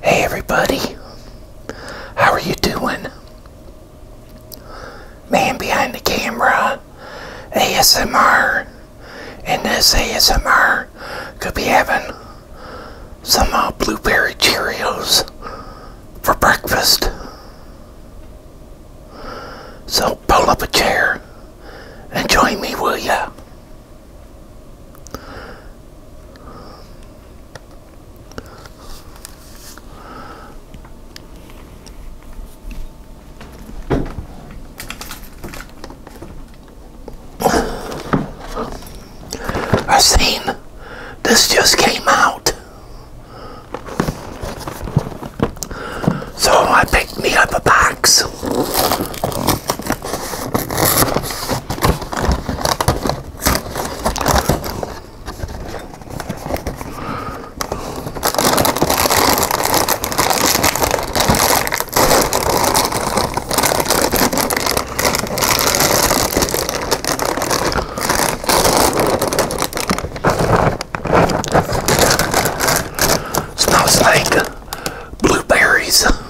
Hey everybody, how are you doing? Man behind the camera, ASMR, and this ASMR could be having some uh, blueberry Cheerios for breakfast. So pull up a chair and join me, will ya? I've seen this just came out. So I picked me up a box. Smells snake. blueberries.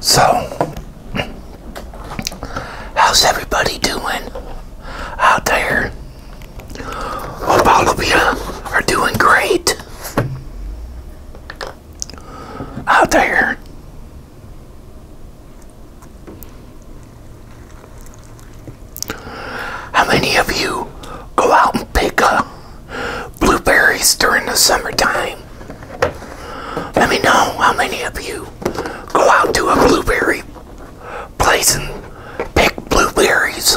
So, how's everybody doing out there? Hope all of you are doing great out there. How many of you go out and pick up blueberries during the summertime? Let me know how many of you go out to a blueberry place and pick blueberries.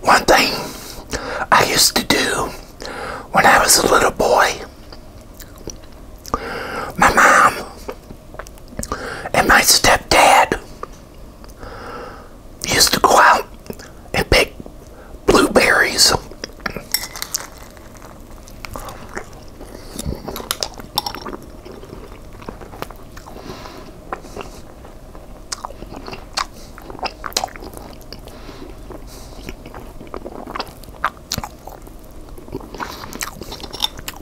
One thing I used to do when I was a little boy, my mom and my stepdad used to go out and pick blueberries.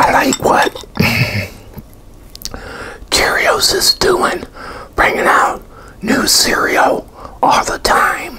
I like what Cheerios is doing, bringing out new cereal all the time.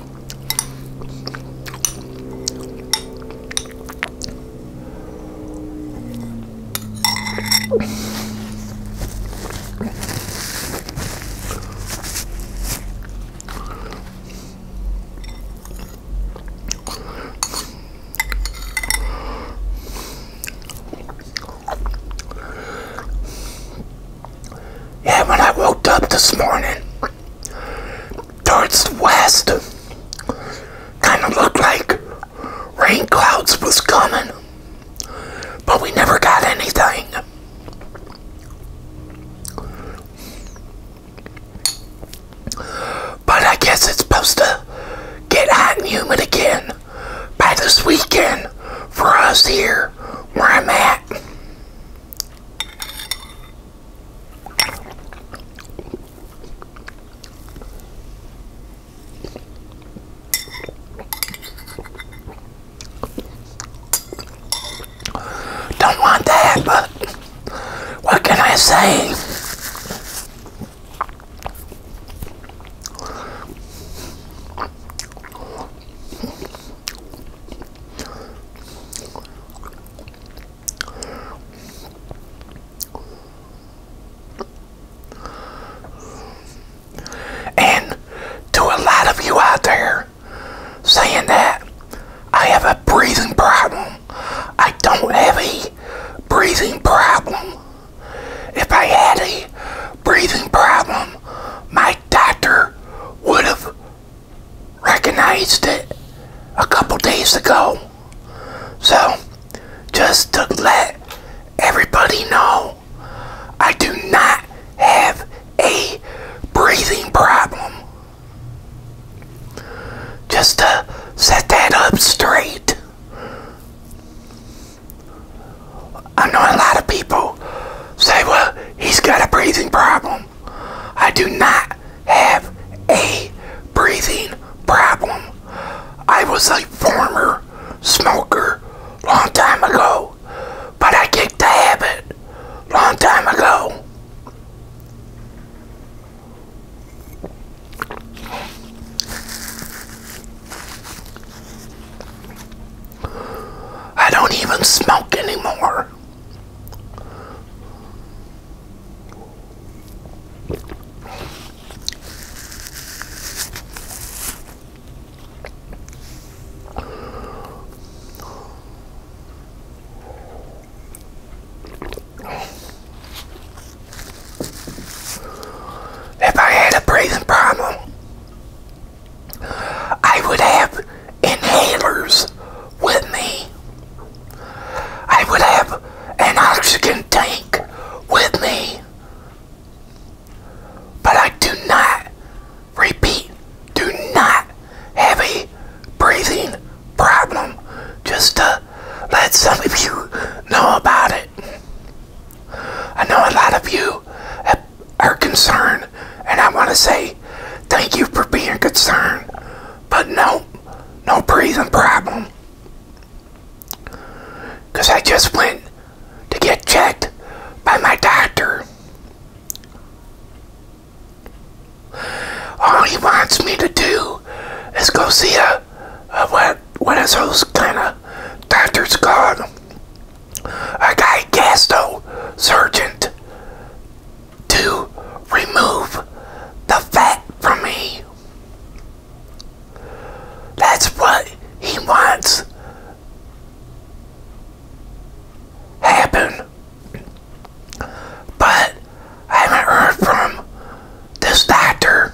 Yeah, when I woke up this morning, towards the west. Kind of looked like rain clouds was coming, but we never got anything. But I guess it's supposed to get hot and humid again by this weekend for us here where I'm at. Don't want that, but what can I say? And to a lot of you out there saying that I have a breathing problem, I don't have a breathing problem. If I had a breathing problem, my doctor would have recognized it a couple days ago. So, just to let everybody know, I do not have a breathing problem. Just to set that up straight. I know a lot of people say, well, he's got a breathing problem. I do not have a breathing problem. I was a former smoker long time ago, but I kicked the habit long time ago. I don't even smoke anymore. If I had a breathing problem, I would have inhalers with me. I would have an oxygen tank with me. But I do not, repeat, do not have a breathing problem. Just to uh, let some of you know about it. I know a lot of you are concerned and I want to say thank you for being concerned. But no, no breathing problem. Because I just went to get checked by my doctor. All he wants me to do is go see a, a what, what is those kind of doctors called? A guy gastro surgeon to remove the fat from me. That's what he wants happen. But I haven't from this doctor.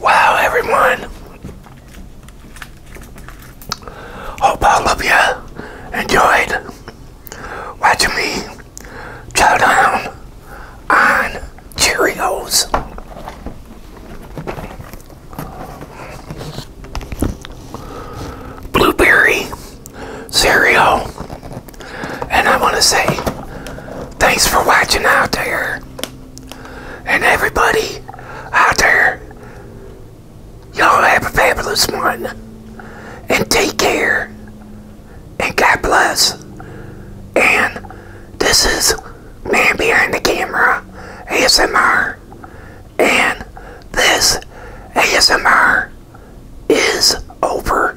Wow, everyone. Hope all of you enjoyed watching me chow down on Cheerios. Blueberry cereal. And I want to say thanks for watching out there. And everybody out there, y'all have a fabulous one. And take care. And God bless. And this is Man Behind the Camera ASMR. And this ASMR is over.